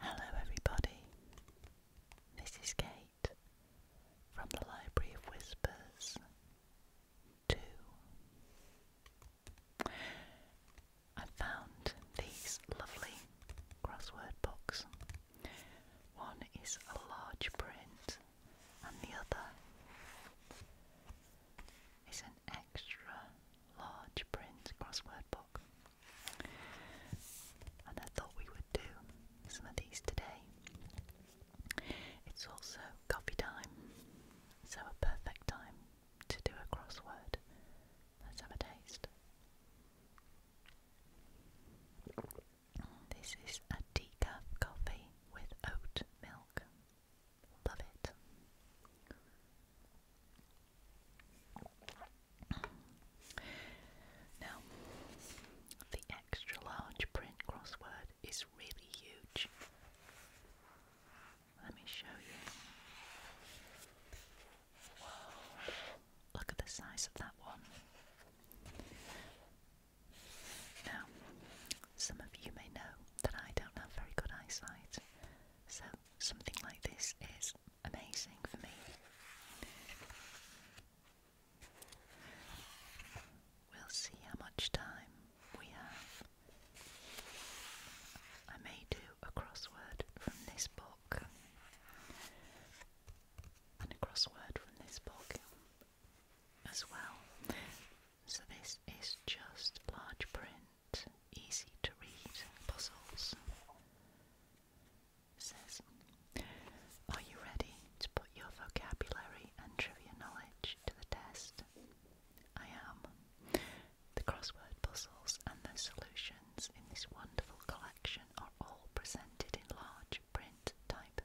Hello, everybody. This is Kate from the Library of Whispers 2. I found these lovely crossword books. One is a large print and the other is an extra large print crossword book. And I thought we would do some of these today. It's also coffee time, so a perfect time to do a crossword. Let's have a taste. This is a decaf coffee with oat milk. Love it. Now, the extra large print crossword is really huge. Let me show you. Look at the size of that one. Now, some of you may know that I don't have very good eyesight, so something like this is amazing for me. We'll see how much time we have. I may do a crossword from this book, and a crossword from this book as well. So this is just large print, easy to read puzzles. says, Are you ready to put your vocabulary and trivia knowledge to the test? I am. The crossword puzzles and their solutions in this wonderful collection are all presented in large print type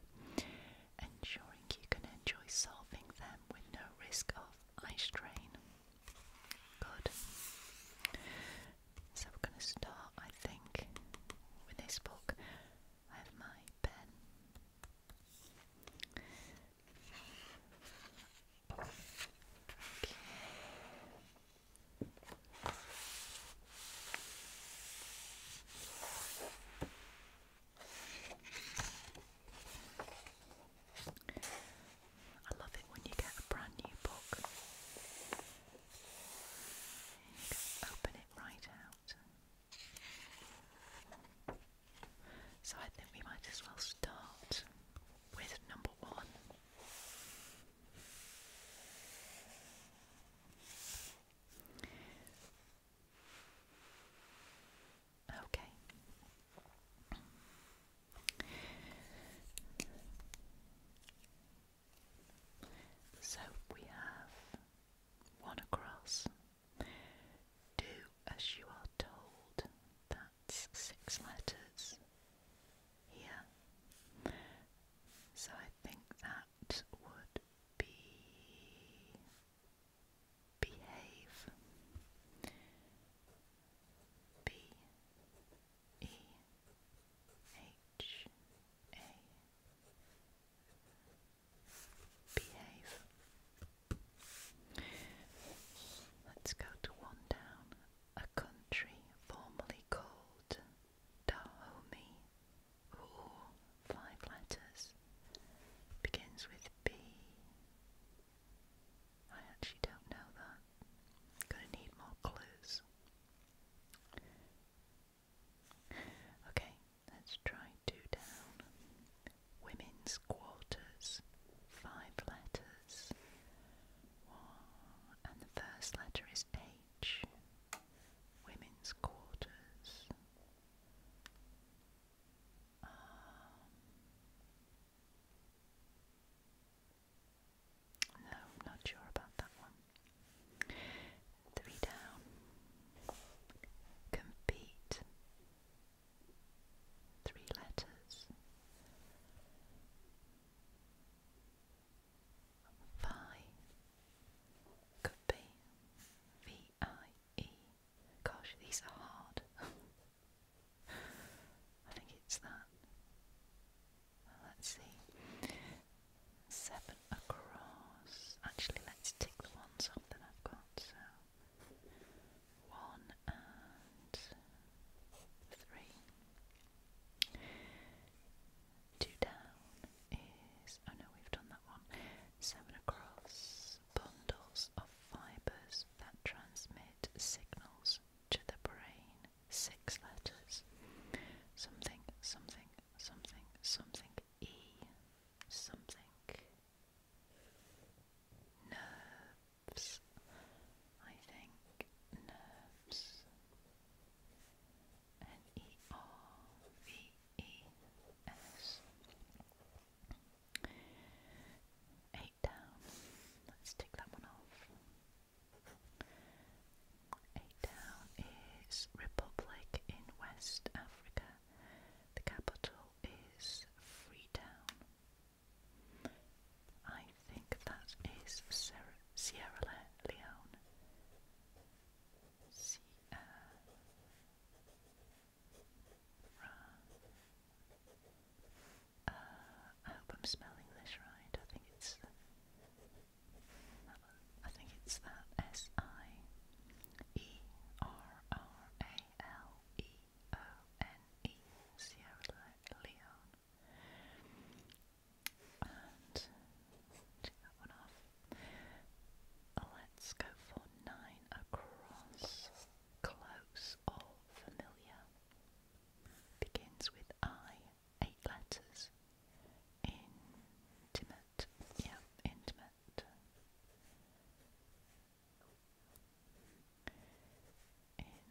ensuring you can enjoy solving them with no risk of eye strain. Good. So we're going to start, I think, with this book. I have my pen. I love it when you get a brand new book. You can open it right out. So I think we might as well start with number one. Okay. So we have one across. Do as you are told. That's six letters here. So I think that would be behave B E H A behave Let's go to one down a country formerly called Dahomey or letters. Begins with B. I actually don't know that. Gonna need more clues. Okay, let's try two down. Women's quarters. Five letters. and the first letter is H. Women's quarters. Um, no, not sure about that one. Three down. Compete. Three letters. Vi. Could be. V I E. Gosh, these are hard. I think it's that. let's see. Seven across. Actually, let's tick the ones up that I've got. So, one and three. Two down is. Oh no, we've done that one. Seven across bundles of fibers that transmit signals to the brain. Six letters. Something, something, something, something, E. Something. Nerves. I think nerves. N E R V E S. Eight down. Let's tick that one off. Eight down is Republic in West Africa. The capital is Freetown. I think that is Sierra, Leone. Uh, I hope I'm spelling this right. I think it's I think it's that S I E R R A L E O N E Sierra Leone. And take that one off. Let's go for nine across. Close or familiar. Begins with I, eight letters. Intimate. Yeah, intimate. Intimate. Nine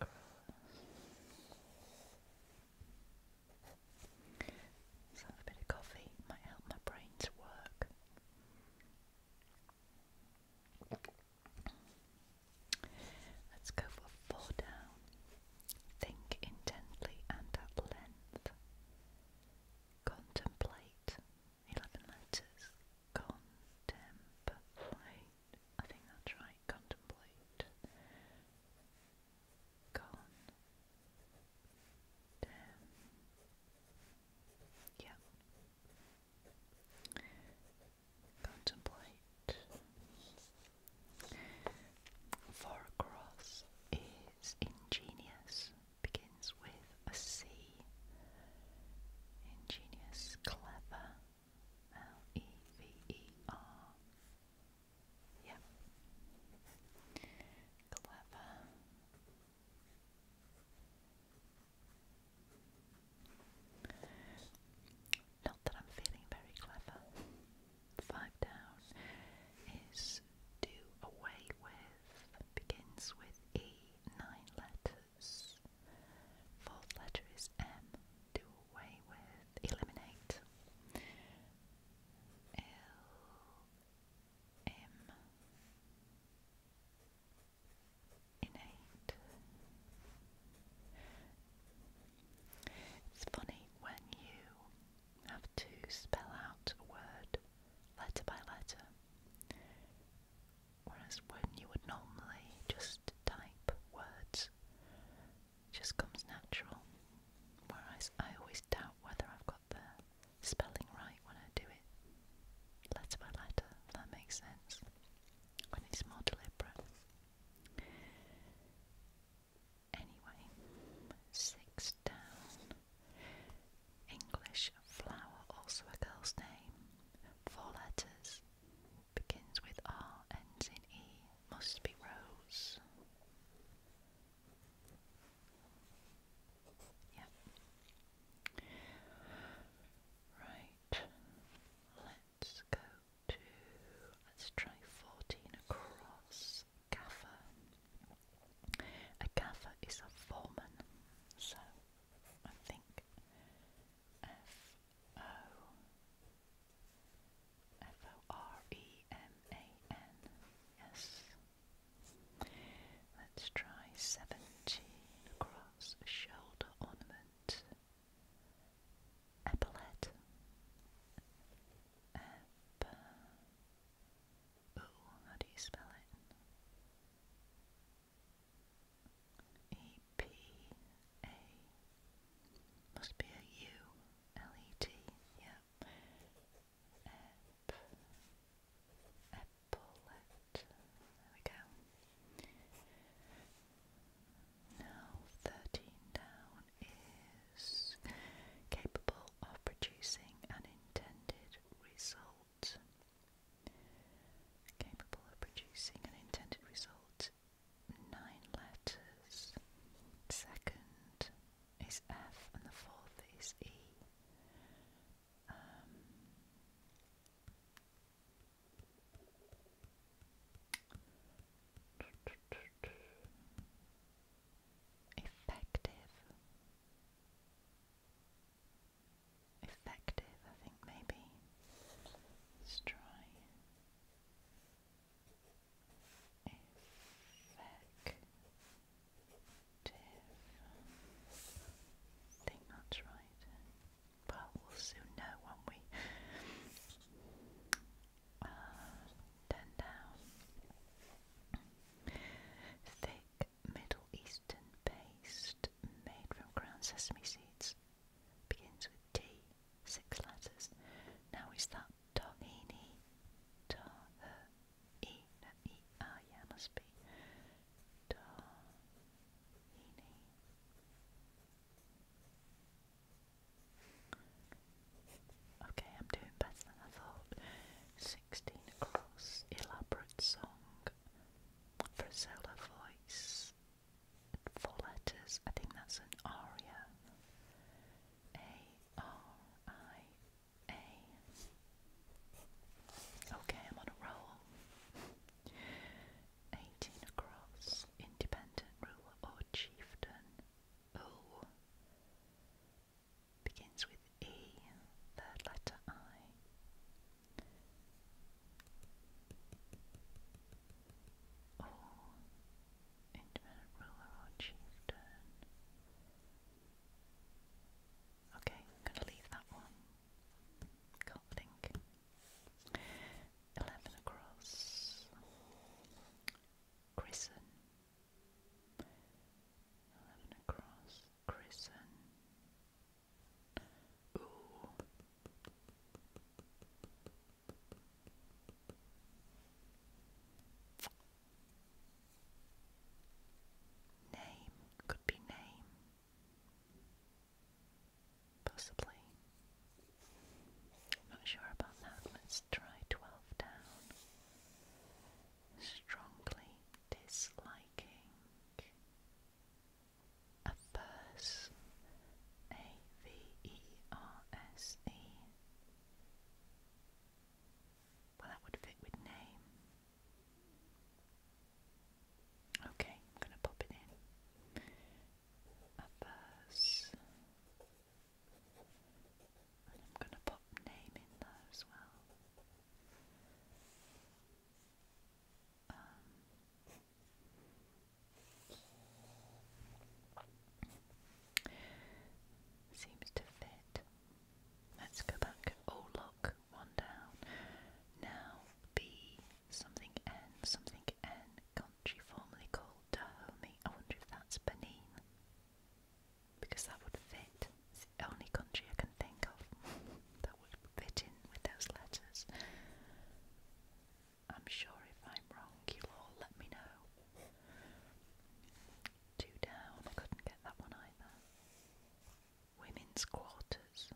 across. So a bit of coffee might help my brain to work. Let's go for four down. Think intently and at length. Contemplate. Eleven letters. Contemplate. I think that's right. Contemplate gone. Damn. Yeah. Contemplate. For a cross is ingenious, begins with a C. Ingenious, clever, L E V E R. Yep. Clever. Not that I'm feeling very clever. Five down is do away with, begins with E, nine letters. Fourth letter is M, do away with eliminate. L M innate. It's funny when you have to spell out a word letter by letter, whereas when you would normally just type words, just comes natural. Whereas I always doubt whether I've got the spelling right when I do it, letter by letter, if that makes sense, when it's more deliberate. Anyway, six down. English flower, also a girl's name, four letters, begins with R, ends in E. Must be Rose. Yep. Right. Let's go to let's try fourteen across. A gaffer is a foreman, so I think F O F O R E M A N. Let's try 17 cross shoulder ornament. Epaulette. E P A. Must be a U. L-E-T, yeah. Ep, epaulet, there we go. Now, 13 down is capable of producing an intended result. Capable of producing an intended result nine letters. Second is F, and the fourth is E. Um, effective. Effective, I think maybe. Let's try effective. I think that's right. Well, we'll soon know, won't we? Uh, ten down. Thick Middle Eastern paste made from ground sesame seeds. Begins with T, six letters. Now is that Tahini Ta the yeah must be Tahini Okay, I'm doing better than I thought. Sixteen across elaborate song for a voice. Four letters. I think that's an aria. A R I A. Okay, I'm on a roll. 18 across, independent ruler or chieftain. O begins with E, third letter I. Oh, or independent ruler or chieftain. Okay, I'm going to leave that one. Can't think. Eleven across. Christen. Eleven across. Christen. Ooh. Name could be name, possibly. Not sure about that. Let's try 12 down. Strongly disliking. Averse. A V E R S E. Well, that would fit with name. Okay, I'm going to pop it in. A I'm going to pop name in there as well. Um, Seems to fit. Let's go back. Oh, one down. Now, B, something N, something N, country formerly called Dahomey. I wonder if that's Benin. Because that would fit. It's the only country I can think of that would fit in with those letters. I'm sure if I'm wrong, you'll all let me know. Two down, I couldn't get that one either. Women's quarters.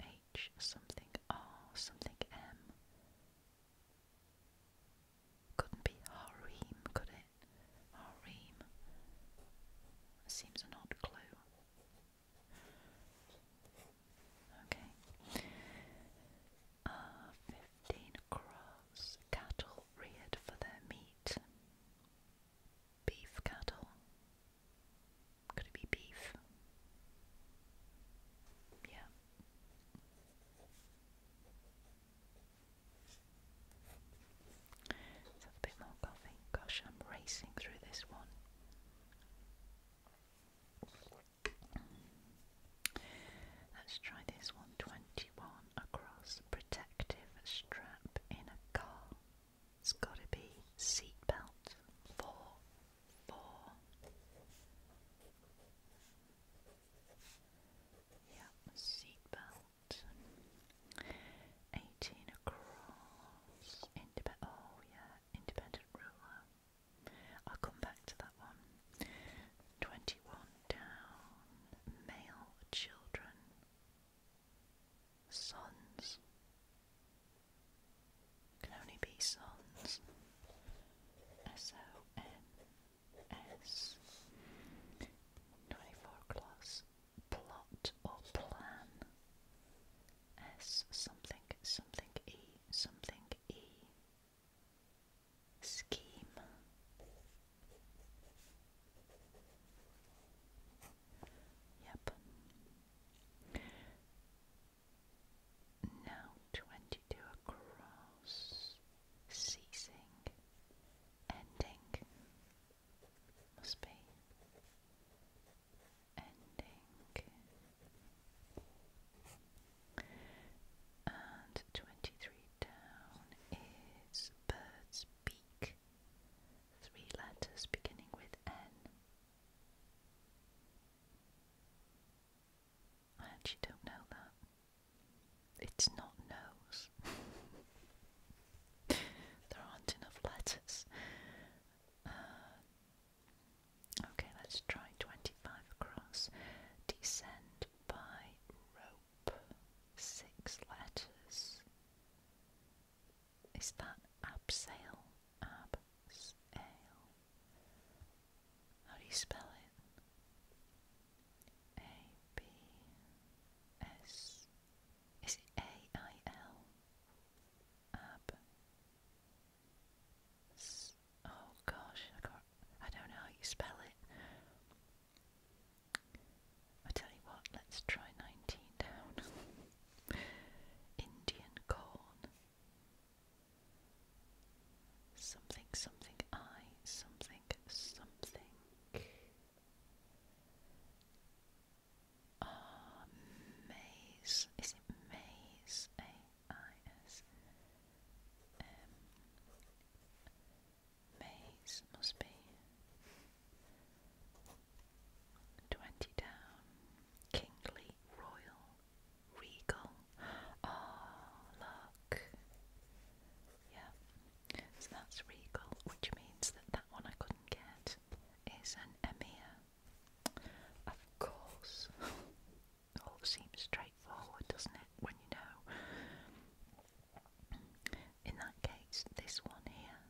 H something R something M. Couldn't be harem, could it? Harem. Seems an odd clue. Okay fifteen crows, cattle reared for their meat. Beef cattle. Could it be beef? Yeah. a bit more coffee. Gosh, I'm racing through this one. Let's try this one. 21 across. Protective strap in a car. It's got to be seatbelt. Four. Four. Yep, seatbelt. 18 across. Independent. Oh, yeah, independent ruler. I'll come back to that one. 21 down male children, sons, can only be sons, S O N S, 24 class, plot or plan, S something something E something E scheme. Yep. Now twenty two across, ceasing, ending. Must be ending. And 23 down is bird's beak. Three letters beginning with N. I actually don't know that. It's not nose. there aren't enough letters. Uh, okay, let's try 25 across. Descend by rope six letters. Is that abseil? Abseil. How do you spell it? A B S. Is it A I L? Ab. Oh gosh, I don't know how you spell it. I tell you what, let's try 19 down. Indian corn. Something, something, I, something, something. Ah, maze. Is it maze? A I S M maze must be. Twenty down, kingly, royal, regal. Oh, look. Yeah, so that's regal, which means that that one I couldn't get is an emir. Of course. All oh, seems straightforward, doesn't when you know. In that case, this one here,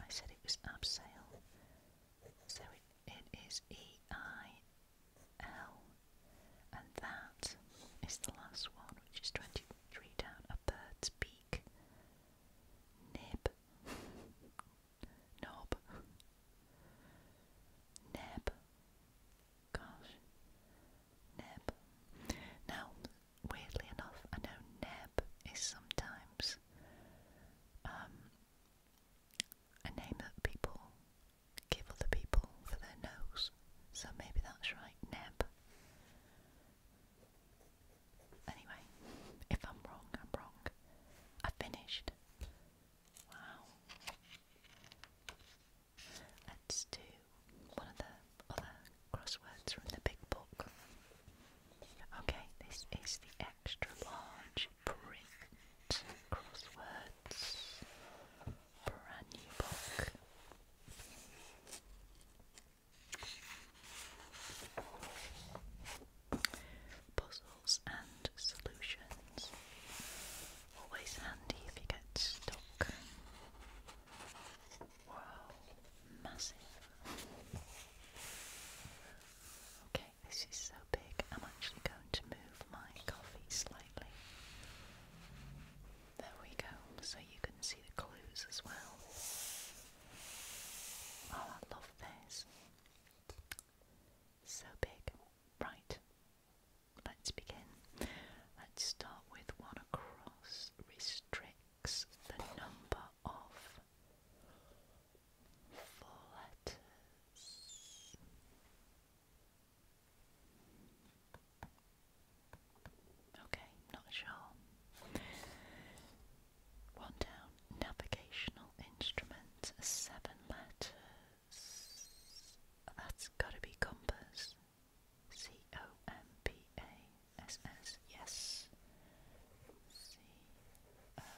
I said it was abseil, so it, it is E I L, and that is the last one, which is 23 down a bird's beak. Nib, knob, neb, Gosh. Neb. Now, weirdly enough, I know Neb is sometimes um, a name that people give other people for their nose. So maybe that's right, Neb. Anyway, if I'm wrong, I'm wrong. I finished. Wow. Let's do one of the other crosswords from the big book. Okay, this is the extra large print crosswords. Brand new book. Puzzles and solutions. Always handy if you get stuck. Wow, massive. Okay, this is so big, I'm actually going to move my coffee slightly. There we go, so you can see the clues as well. Oh, I love this. So big. Right, Let's begin. Let's start with one across restricts the number of four letters. Okay, not sure. One down. Navigational instrument, seven letters. That's gotta be compass. C O M P A S S. Yes. C O.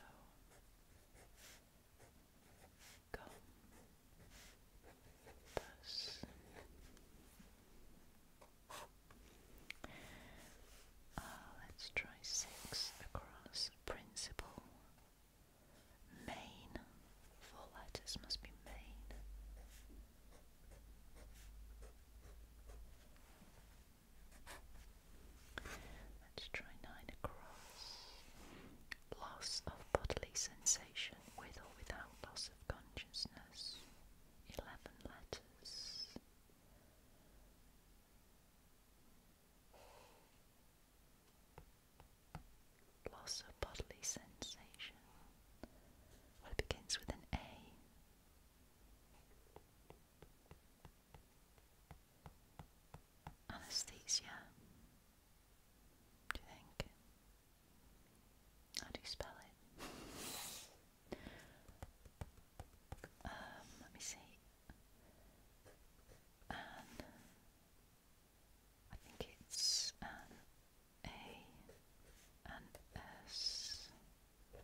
Compass. let's try six across. Principal. Main. Four letters must be main. Let's try nine across. Loss of bodily sensation with or without loss of consciousness. Eleven letters loss of bodily sensation. Well, it begins with an A. Anesthesia. Do you think? How do you spell it? um, let me see. I think it's an A, an uh, It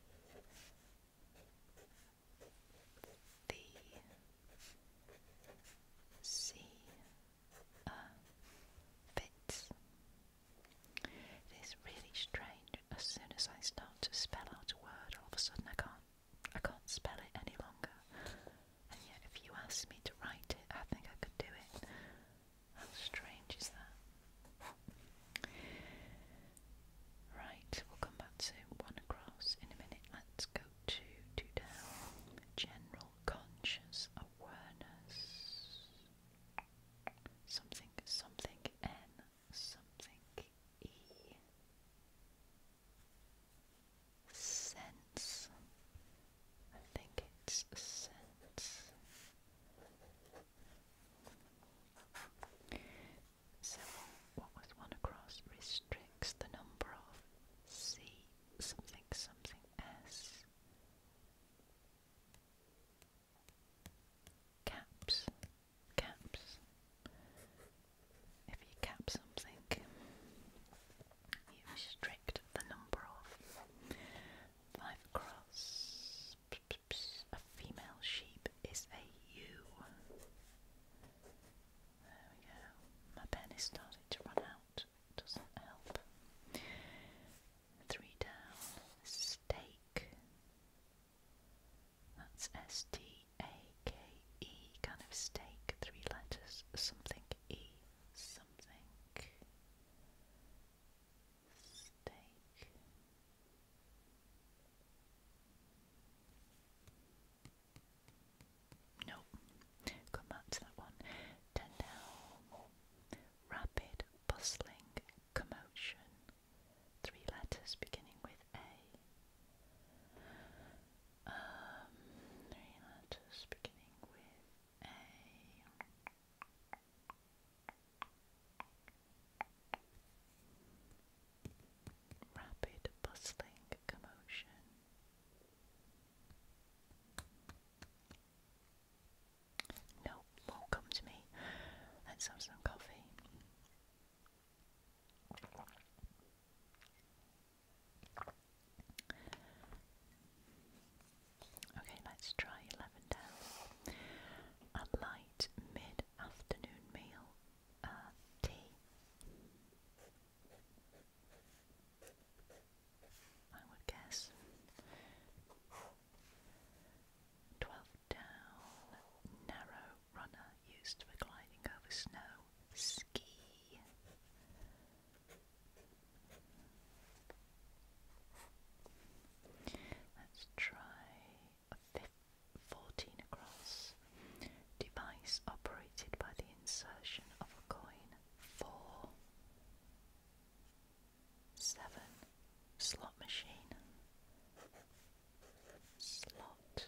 is really strange. As soon as I start to spell out a word, all of a sudden I can't. I can't spell it any longer, and yet if you asked me to write it, I think I could do it. How strange is that? Right, we'll come back to one across in a minute. Let's go to two down. General conscious awareness. Something, something, N, something, E. Sense. I think it's scents. So, what was one across? Restricts the number of C something something S caps. Caps. If you cap something, you restrict the number of. Five across. A female sheep is a ewe. There we go. My pen is starting to run out. doesn't help. Three down. Steak. That's S T A K E. Kind of steak. Three letters. Something E. Something steak. Nope, come back to that one. Tendel, rapid, bustling, commotion. Three letters beginning with A. Um, three letters beginning with A. Rapid bustling commotion. No, won't come to me. Let's have some coffee. Okay, let's try 11 down. A light mid afternoon meal, uh, tea. I would guess. 12 down, narrow runner used for gliding over snow, ski. Let's try 14 across. Device operated by the insertion of a coin. 4. 7. Slot machine. Slot.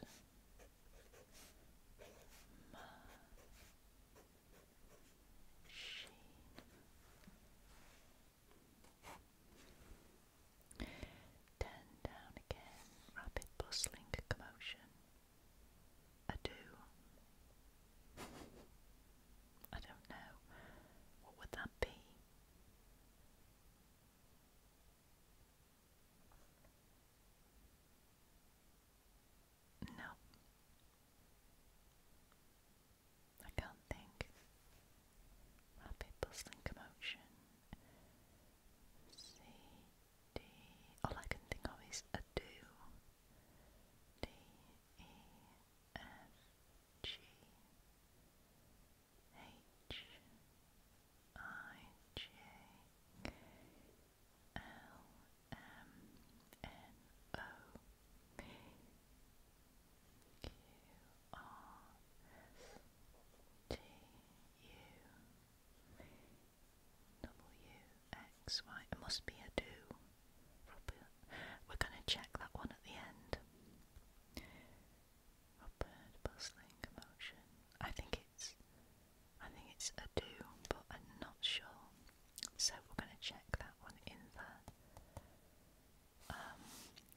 Ten down again, rapid bustling commotion. Ado. I don't know. What would that be? No, I can't think. Rapid bustling commotion. C, D. All I can think of is a Q R S T U W X Y. It must be a do. We're going to check that one at the end. Robert commotion. I think it's. I think it's a do, but I'm not sure. So we're going to check that one in there. Um,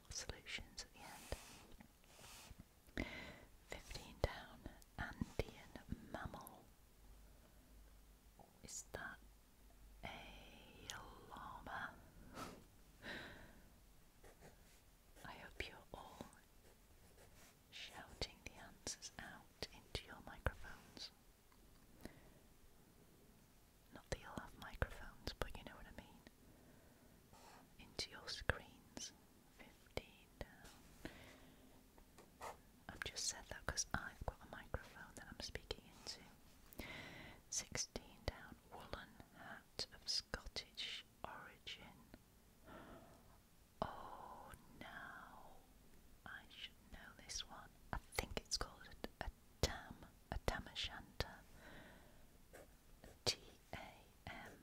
solutions at the end. 15 down, Andean mammal. Is that a llama? I hope you're all shouting the answers out into your microphones. Not that you'll have microphones, but you know what I mean. Into your screens. 15 down. I've just said that because I've got a microphone that I'm speaking into. 16 down. Woolen hat of Scottish origin. Oh, now I should know this one. I think it's called a a tam, a tam o' shanter. T A M.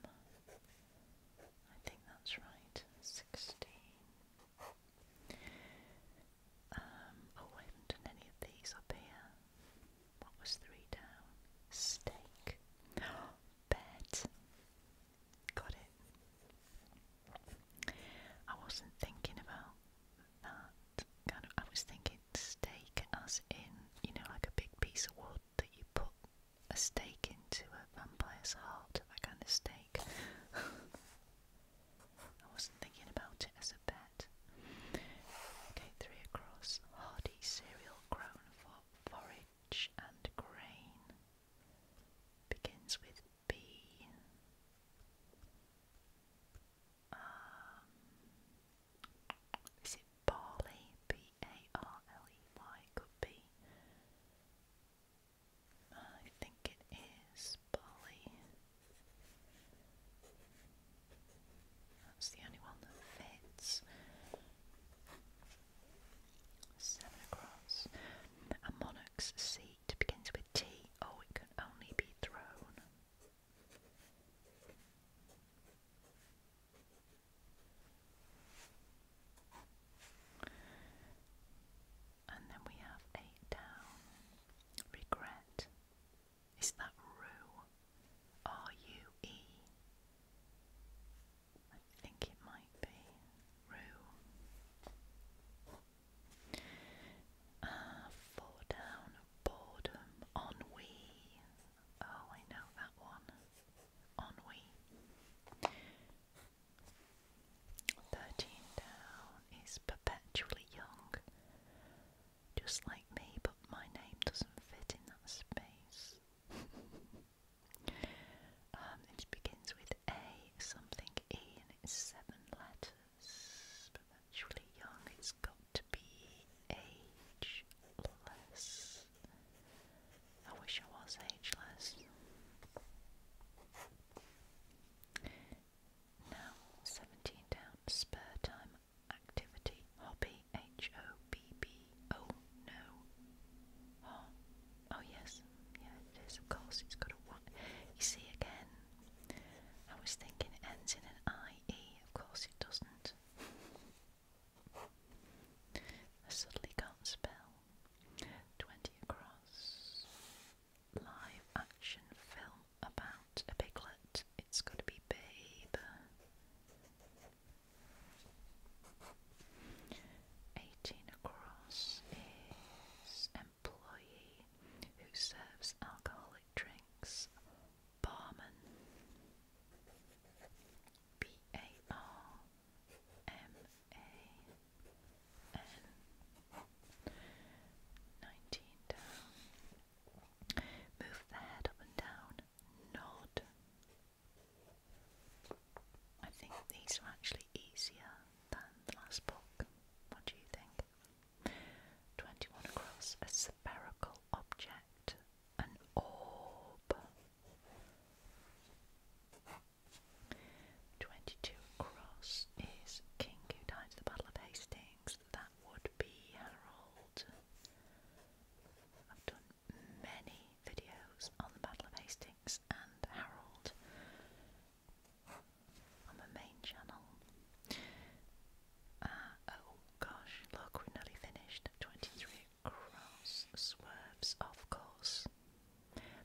I think that's right. Sixteen. Um, oh, I haven't done any of these up here. What was three down? Steak. Bet. Got it. I wasn't thinking about that kind of, I was thinking steak as in, you know, like a big piece of wood that you put a stake into a vampire's heart, that kind of stake. I wasn't thinking about it as a bet. Okay, three across. Hardy cereal grown for forage and grain. Begins with B is it Barley? B A R L E Y could be. I think it is Barley. That's the only one that fits. Seven A monarch's seat begins with T. Oh, it can only be thrown. And then we have eight down. Regret. Is that rue? R U E. I think it might be rue. Uh, four down, boredom, ennui. Oh, I know that one. Ennui. Thirteen down is perpetually young. Just like me, but my name doesn't fit in that space. Um, it begins with A, something E, and it's seven letters supernaturally young, it's got to be ageless. I wish I was ageless. Now, 17 down, spare time, activity, hobby, H O B B. no. Oh, oh yes, yeah, it is, of course, it's got a You see again, I was thinking ends in an IE, of course it doesn't. I suddenly can't spell. 20 across. Live action film about a piglet. It's got to be Babe. 18 across is employee who serves alcoholic drinks, barman. B A R M A N. 19 down. Move the head up and down. Nod. I think these are actually easier than the last book. What do you think? 21 across a spherical object, an orb. 22 across is king who died the Battle of Hastings. That would be Harold. I've done many videos on the Battle of Hastings and Harold on the main channel. Uh, oh gosh, look, we're nearly finished. 23 across, swerves, of course.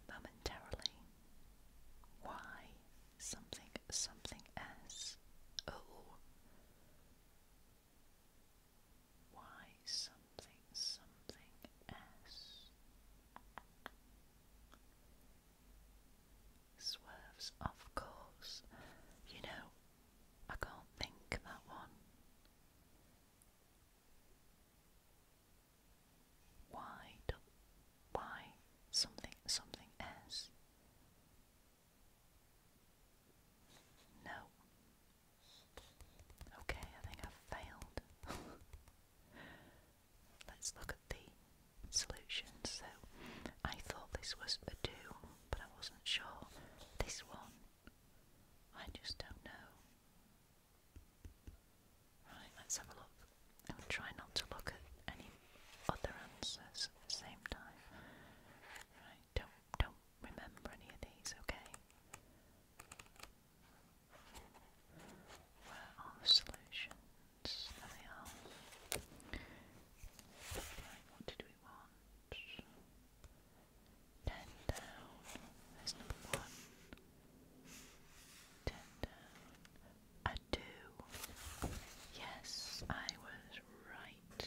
Momentarily. Why? Something, something else. Oh. something, something else? Swerves, of course. You know, I can't think that one. Why something something S? No. Okay, I think I've failed. Let's look at the solutions. So I thought this was a do, but I wasn't sure. This one, I just don't know. Right, let's have a look. I'm going try not to look at any other answers at the same time. Right, don't don't remember any of these, okay? Where are the solutions? There what did we want? Ten down. number one. Ten down. A Yes, I was right.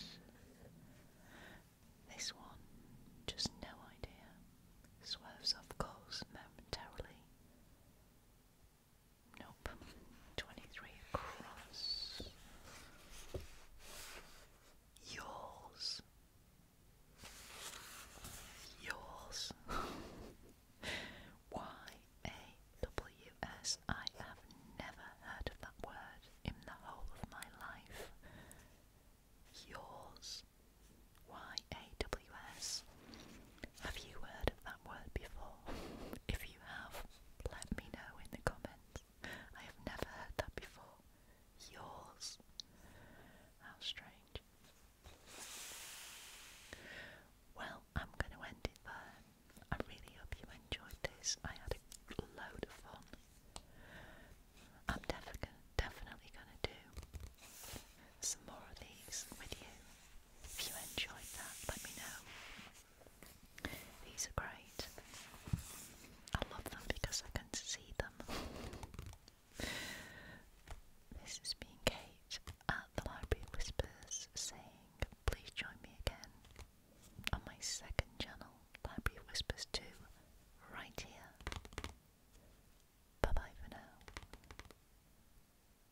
This one, just no idea. Swerves off course momentarily. Nope. Twenty three across. Yours. Yours. Y A W S. I have never heard of that word in the whole of my life. Yours. Y A W S. Have you heard of that word before? If you have, let me know in the comments. I have never heard that before. Yours. How strange. Well, I'm going to end it there. I really hope you enjoyed this. I had a load of fun. I'm def definitely going to do some more of these with you. If you enjoyed that, let me know. These are great. I love them because I can see them. This has been Kate at the Library Whispers saying, please join me again on my second channel, Library Whispers 2, right here. Bye bye for now.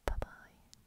Bye bye.